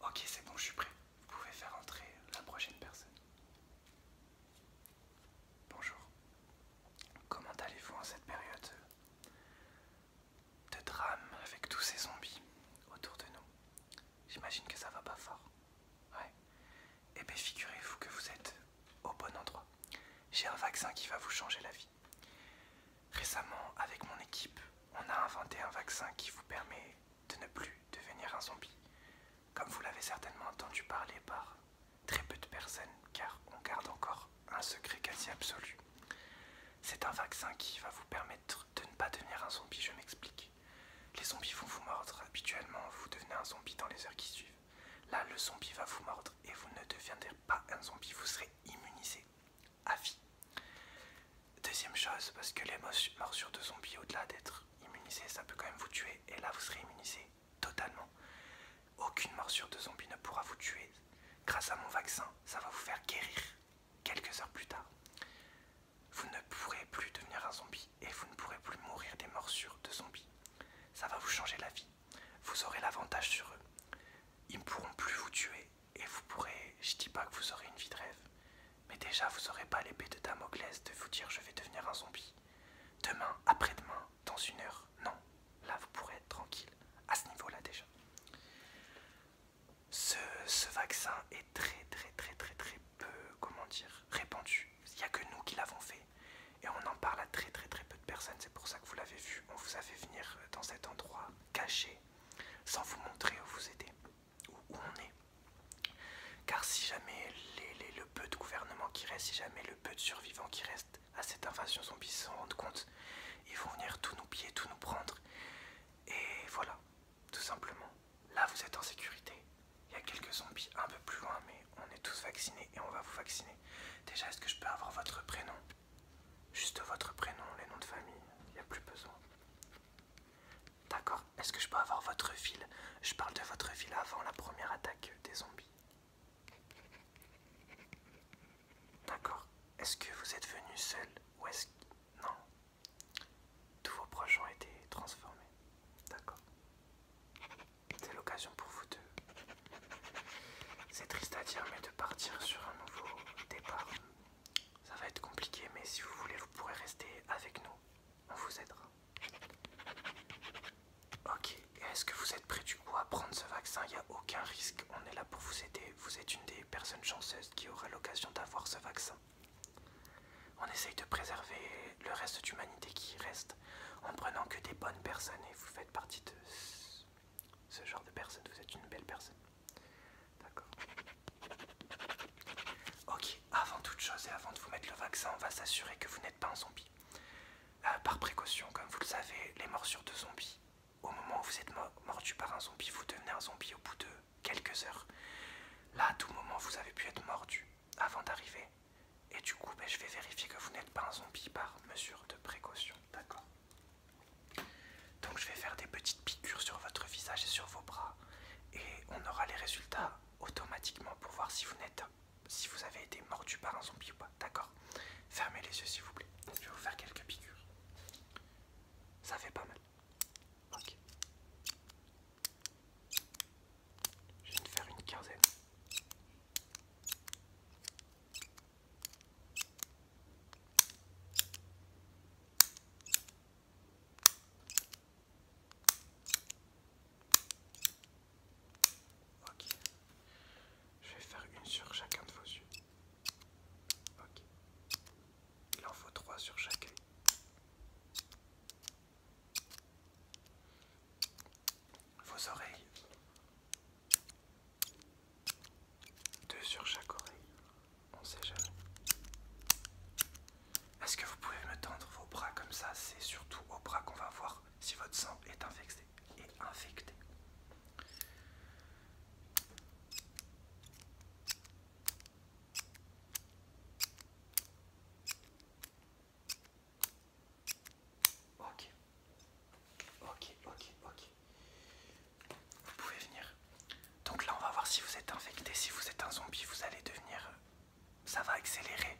Ok, c'est bon, je suis prêt. Vous pouvez faire entrer la prochaine personne. Bonjour. Comment allez-vous en cette période de drame avec tous ces zombies autour de nous J'imagine que ça va pas fort. Ouais. Eh bien, figurez-vous que vous êtes au bon endroit. J'ai un vaccin qui va vous changer la vie. Récemment, avec mon équipe, on a inventé un vaccin qui vous permet de ne plus devenir un zombie, comme vous l'avez certainement entendu parler par très peu de personnes, car on garde encore un secret quasi absolu. C'est un vaccin qui va vous permettre de ne pas devenir un zombie, je m'explique. Les zombies vont vous mordre, habituellement vous devenez un zombie dans les heures qui suivent. Là, le zombie va vous mordre et vous ne deviendrez pas un zombie, vous serez immunisé à vie. Deuxième chose, parce que les morsures de zombies, au-delà d'être immunisées, ça peut quand même vous tuer. Et là, vous serez immunisé totalement. Aucune morsure de zombie ne pourra vous tuer. Grâce à mon vaccin, ça va vous faire guérir quelques heures plus tard. Vous ne pourrez plus devenir un zombie et vous ne pourrez plus mourir des morsures de zombies. Ça va vous changer la vie. Vous aurez l'avantage sur eux. Ils ne pourront plus vous tuer et vous pourrez, je dis pas que vous aurez une vie de rêve, mais déjà vous aurez pas l'épée de Damoclès de vous dire je vais devenir un zombie. Demain, après-demain, dans une heure, non. Là vous pourrez être tranquille, à ce niveau-là déjà. Ce, ce vaccin est très très très très très peu, comment dire, répandu. Il n'y a que nous qui l'avons fait. Et on en parle à très très très peu de personnes, c'est pour ça que vous l'avez vu. On vous a fait venir euh, dans cet endroit caché, sans vous montrer où vous êtes, où, on est. Car si jamais le peu de gouvernement qui reste, si jamais le peu de survivants qui reste à cette invasion zombie s'en rendent compte, ils vont venir tout nous piller, tout nous prendre. Et voilà, tout simplement. Là, vous êtes en sécurité. Il y a quelques zombies un peu plus loin, mais on est tous vaccinés et on va vous vacciner. Déjà, est-ce que je peux avoir votre prénom Juste votre prénom, les noms de famille, il n'y a plus besoin. D'accord, est-ce que je peux avoir votre ville Je parle de votre ville avant la première attaque des zombies. D'accord, est-ce que vous êtes venu seul ou est-ce que... Non. Tous vos proches ont été transformés. D'accord. C'est l'occasion pour vous deux. C'est triste à dire, mais de partir sur un nouveau départ, ça va être compliqué, mais si vous voulez, vous pourrez rester avec nous. On vous aidera. Ok, est-ce que vous êtes prêt du coup à prendre ce vaccin Il n'y a aucun risque, on est là pour vous aider. Vous êtes une des personnes chanceuses qui aura l'occasion d'avoir ce vaccin. On essaye de préserver le reste d'humanité qui reste en prenant que des bonnes personnes et vous faites partie de ce genre de personne, vous êtes une belle personne. D'accord. Ok, avant toute chose et avant de vous mettre le vaccin, on va s'assurer que vous n'êtes pas un zombie. Euh, par précaution, comme vous le savez, les morsures de zombies, au moment où vous êtes mordu par un zombie, vous devenez un zombie au bout de quelques heures. Là, à tout moment, vous avez pu être mordu avant d'arriver. Et du coup, ben, je vais vérifier que vous n'êtes pas un zombie par mesure de précaution. D'accord donc je vais faire des petites piqûres sur votre visage et sur vos bras et on aura les résultats automatiquement pour voir si vous n'êtes si vous avez été mordu par un zombie ou pas. D'accord Fermez les yeux s'il vous plaît. Je vais vous faire quelques piqûres. Ça fait pas mal. Ok. Je viens de faire une quinzaine. Ok. Je vais faire une sur chacun de vos yeux. Ok. Il en faut trois sur chaque œil. Vos oreilles. Deux sur chaque oreille, on sait jamais. Est-ce que vous pouvez me tendre vos bras comme ça C'est surtout aux bras qu'on va voir si votre sang est infecté. Est infecté. Ok. Ok, ok, ok. Vous pouvez venir. Donc là, on va voir si vous êtes infecté. Si vous êtes un zombie, vous allez devenir... Ça va accélérer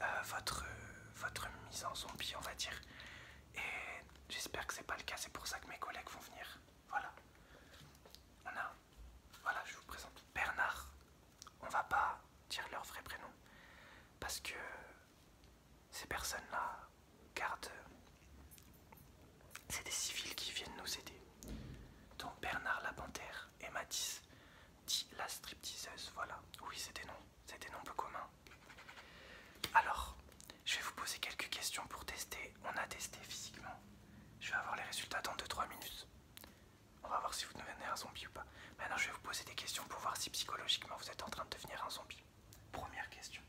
euh, votre, votre mise en zombie, on va dire. Et j'espère que c'est pas le cas. C'est pour ça que mes collègues vont venir. Voilà. On a... Voilà, je vous présente Bernard. On va pas dire leur vrai prénom. Parce que ces personnes-là gardent. C'est des civils qui viennent nous aider. Donc Bernard Lapantère et Mathis, dit la stripteaseuse. Voilà, oui, c'est des noms, c'est des noms peu communs. Alors, je vais vous poser quelques questions pour tester. On a testé physiquement. Je vais avoir les résultats dans 2-3 minutes. On va voir si vous devenez un zombie ou pas. Maintenant, je vais vous poser des questions pour voir si psychologiquement vous êtes en train de devenir un zombie. Première question.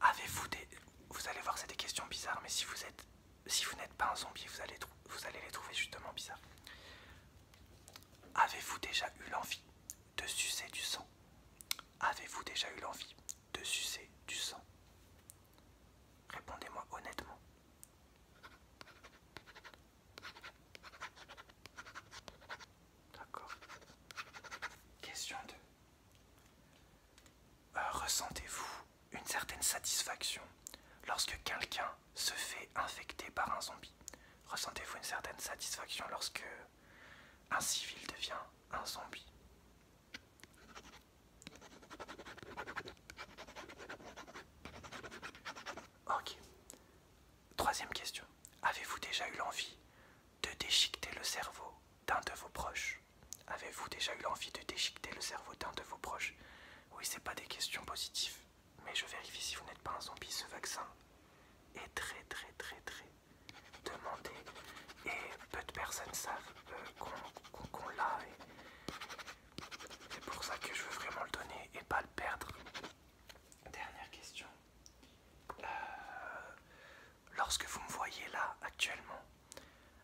Avez-vous des... Vous allez voir, c'est des questions bizarres, mais si vous êtes... Si vous n'êtes pas un zombie, vous allez, vous allez les trouver justement bizarres. Avez-vous déjà eu l'envie de sucer du sang Avez-vous déjà eu l'envie de sucer du sang Répondez-moi honnêtement. D'accord. Question 2. Euh, ressentez-vous une certaine satisfaction lorsque quelqu'un se fait infecter par un zombie Ressentez-vous une certaine satisfaction lorsque un civil devient un zombie Ok. Troisième question. Avez-vous déjà eu l'envie de déchiqueter le cerveau d'un de vos proches Avez-vous déjà eu l'envie de déchiqueter le cerveau d'un de vos proches Oui, c'est pas des questions positives, mais je vérifie si vous n'êtes pas un zombie. Ce vaccin est très, très, très, très demandé et peu de personnes savent euh, qu'on l'a. C'est pour ça que je veux vraiment le donner et pas le perdre. Dernière question. Euh, lorsque vous me voyez là actuellement,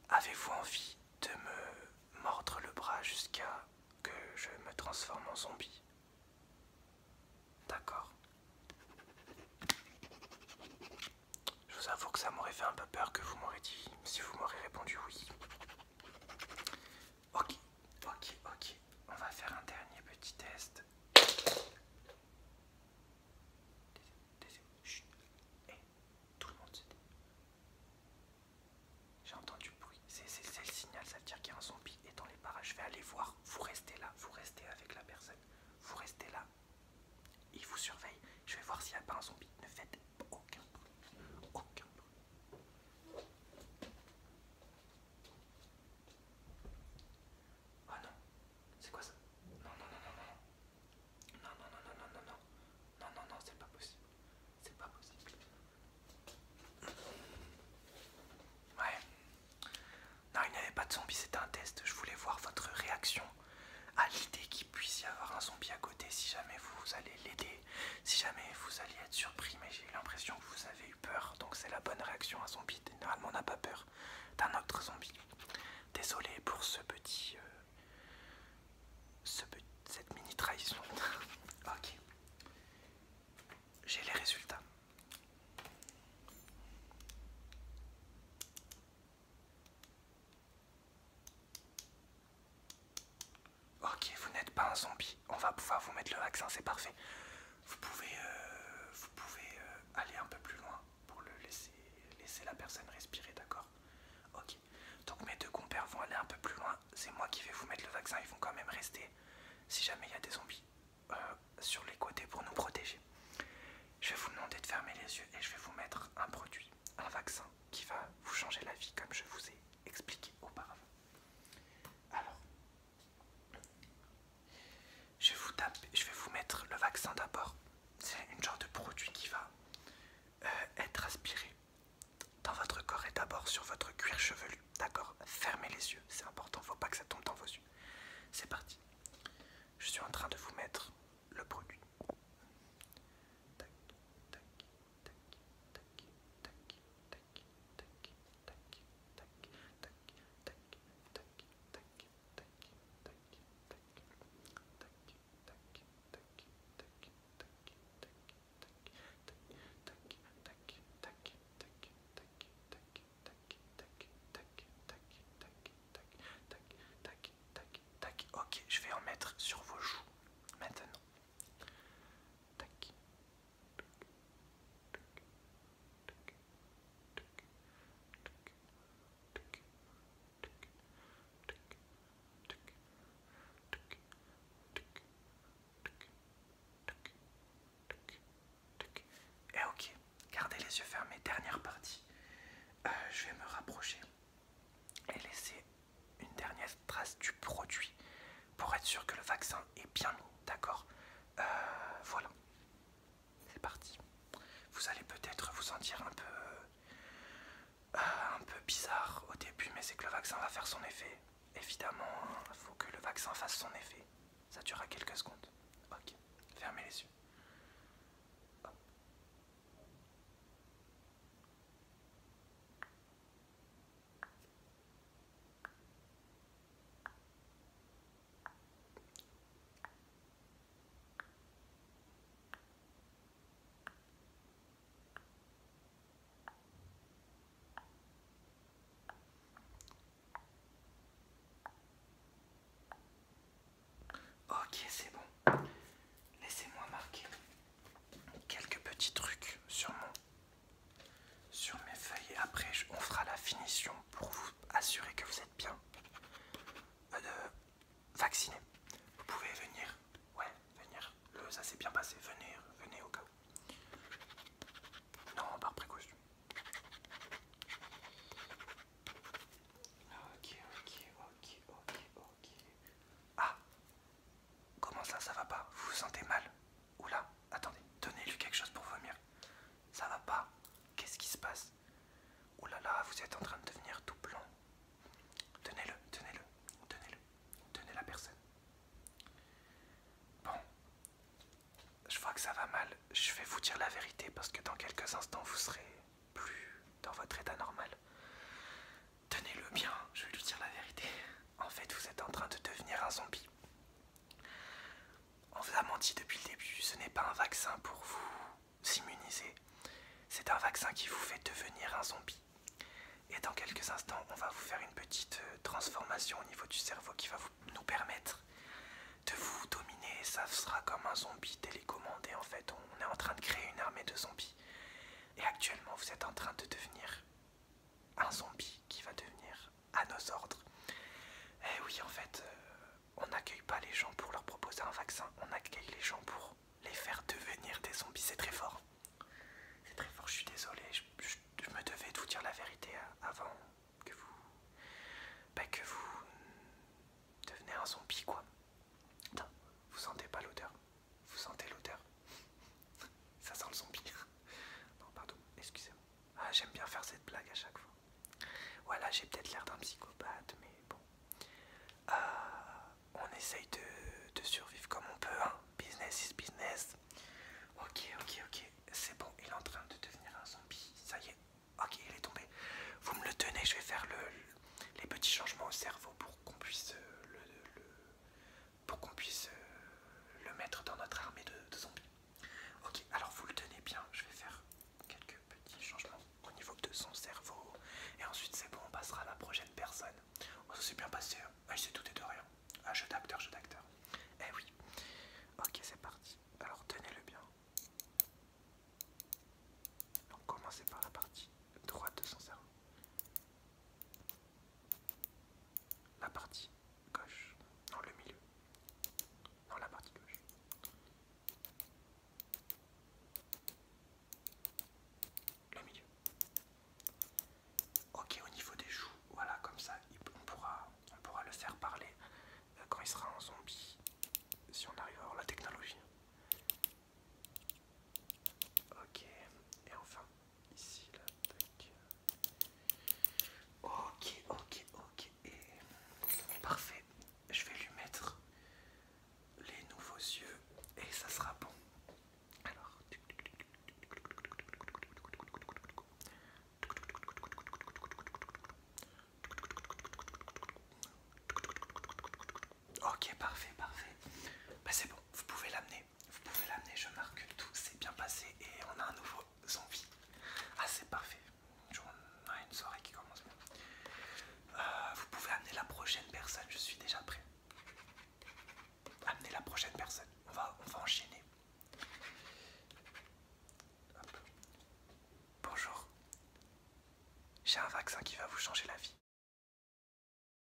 avez-vous envie de me mordre le bras jusqu'à que je me transforme en zombie D'accord. Je vous avoue que ça m'aurait fait un peu peur que vous m'auriez dit si vous m'aurez répondu oui. Ok, ok, ok. On va faire un dernier petit test. Chut. Eh, tout le monde J'ai entendu du bruit. C'est le signal, ça veut dire qu'il y a un zombie dans les parages. Je vais aller voir. Vous restez là, vous restez avec la personne. Vous restez là. Il vous surveille. Je vais voir s'il n'y a pas un zombie. Ne faites aucun bruit. Aucun bruit. Oh non, c'est quoi ça Non, non, non, non, non, non, non, non, non, non, non, non, non, non, non c'est pas possible, c'est pas possible. Ouais, non, il n'y avait pas de zombie, c'était un test. Je voulais voir votre réaction à l'idée qu'il puisse y avoir un zombie à côté si jamais vous allez l'aider, si jamais vous allez être surpris, mais j'ai l'impression que vous avez peur, donc c'est la bonne réaction à zombie. Normalement, on n'a pas peur d'un autre zombie. Désolé pour ce petit. Euh, cette mini trahison. ok. J'ai les résultats. Ok, vous n'êtes pas un zombie on va pouvoir vous mettre le vaccin, c'est parfait. Vous pouvez, euh, vous pouvez euh, aller un peu plus loin pour le laisser, laisser la personne respirer, d'accord Ok. Donc mes deux compères vont aller un peu plus loin. C'est moi qui vais vous mettre le vaccin. Ils vont quand même rester, si jamais il y a des zombies, euh, sur les côtés pour nous protéger. Je vais vous demander de fermer les yeux et je vais vous mettre un produit, un vaccin qui va vous changer la vie comme je vous ai expliqué auparavant. Alors, je, vous je vais vous mettre le vaccin d'abord. C'est une genre de produit qui va euh, être aspiré dans votre corps et d'abord sur votre cuir chevelu. D'accord Fermez les yeux, c'est important, faut pas que ça tombe dans vos yeux. C'est parti. Je suis en train de vous mettre le produit. tac, tac, tac, tac, tac, tac, tac tac, tac, tac, tac, tac, tac, Ok, je vais en mettre sur vos joues maintenant. Et eh, ok, gardez les yeux fermés, dernière partie. Euh, je vais me rapprocher et laisser une dernière trace du produit pour être sûr que le vaccin est bien mis, d'accord euh, Voilà, c'est parti. Vous allez peut-être vous sentir un peu, euh, un peu bizarre au début, mais c'est que le vaccin va faire son effet. Évidemment, il hein, faut que le vaccin fasse son effet. Ça durera quelques secondes. Ok, fermez les yeux. Ok, c'est bon. Laissez-moi marquer quelques petits trucs sur, mon, sur mes feuilles après on fera la finition pour vous assurer que vous êtes bien euh, de vacciné. Vous pouvez venir, ouais, venir, le, ça s'est bien passé, Venir, venez au cas où. Non, par précaution. Ok, ok, ok, ok, ok. Ah, Comment ça, ça va pas Vous vous sentez mal Oula, attendez, donnez-lui quelque chose pour vomir. Ça va pas Qu'est-ce qui se passe Oulala, là vous êtes en train de devenir tout blanc. Tenez-le, tenez-le, tenez-le, tenez la personne. Bon, je vois que ça va mal. Je vais vous dire la vérité parce que dans quelques instants, vous serez plus dans votre état normal. Tenez-le bien, je vais lui dire la vérité. En fait, vous êtes en train de devenir un zombie. On vous a menti depuis le début, ce n'est pas un vaccin pour vous immuniser. C'est un vaccin qui vous fait devenir un zombie. Et dans quelques instants, on va vous faire une petite euh, transformation au niveau du cerveau qui va nous permettre de vous dominer. Ça sera comme un zombie télécommandé en fait. On est en train de créer une armée de zombies. Et actuellement, vous êtes en train de devenir un zombie qui va devenir à nos ordres. Et eh oui, en fait, euh, on n'accueille pas les gens pour leur proposer un vaccin, on accueille les gens pour les faire devenir des zombies. C'est très fort. C'est très fort, je suis désolé, je, me devais de vous dire la vérité avant que vous. Ben, que vous deveniez un zombie, quoi. Putain, vous sentez pas l'odeur vous sentez l'odeur Ça sent le zombie. non, pardon, excusez-moi. Ah, j'aime bien faire cette blague à chaque fois. Voilà, j'ai peut-être l'air d'un psychopathe, mais bon. Euh, on essaye de, survivre comme on peut, hein. Business is business. Ok, ok, ok. C'est bon, il est en train de devenir un zombie. Ça y est. Ok, il est tombé. Vous me le tenez, je vais faire les petits changements au cerveau pour qu'on puisse euh, le, pour qu'on puisse euh, le mettre dans notre armée de, zombies. Ok, alors vous le tenez bien, je vais faire quelques petits changements au niveau de son cerveau. Et ensuite c'est bon, on passera à la prochaine personne. On oh, se s'est bien passé, Je sais sais tout et de rien. Un ah, jeu d'acteur, jeu d'acteur. Eh oui. Ok, c'est parti. Alors tenez-le bien. Donc commencez par la partie droite de son cerveau la partie gauche, non le milieu, non la partie gauche. Le milieu. Ok, au niveau des joues, voilà, comme ça, on pourra, on pourra le faire parler euh, quand il sera en zombie, si on arrive à avoir la technologie. Ok, et enfin, Ici, là, Ok, ok, ok. Parfait. Je vais lui mettre les nouveaux yeux et ça sera bon. Alors. Ok, parfait, parfait. Bah, c'est bon, vous pouvez l'amener vous pouvez l'amener, je marque que tout s'est bien passé et on a un nouveau zombie. Ah c'est parfait, on a une soirée qui commence bien. Euh, vous pouvez amener la prochaine personne, je suis déjà prêt. Amener la prochaine personne, on va, on va enchaîner. Bonjour, j'ai un vaccin qui va vous changer la vie.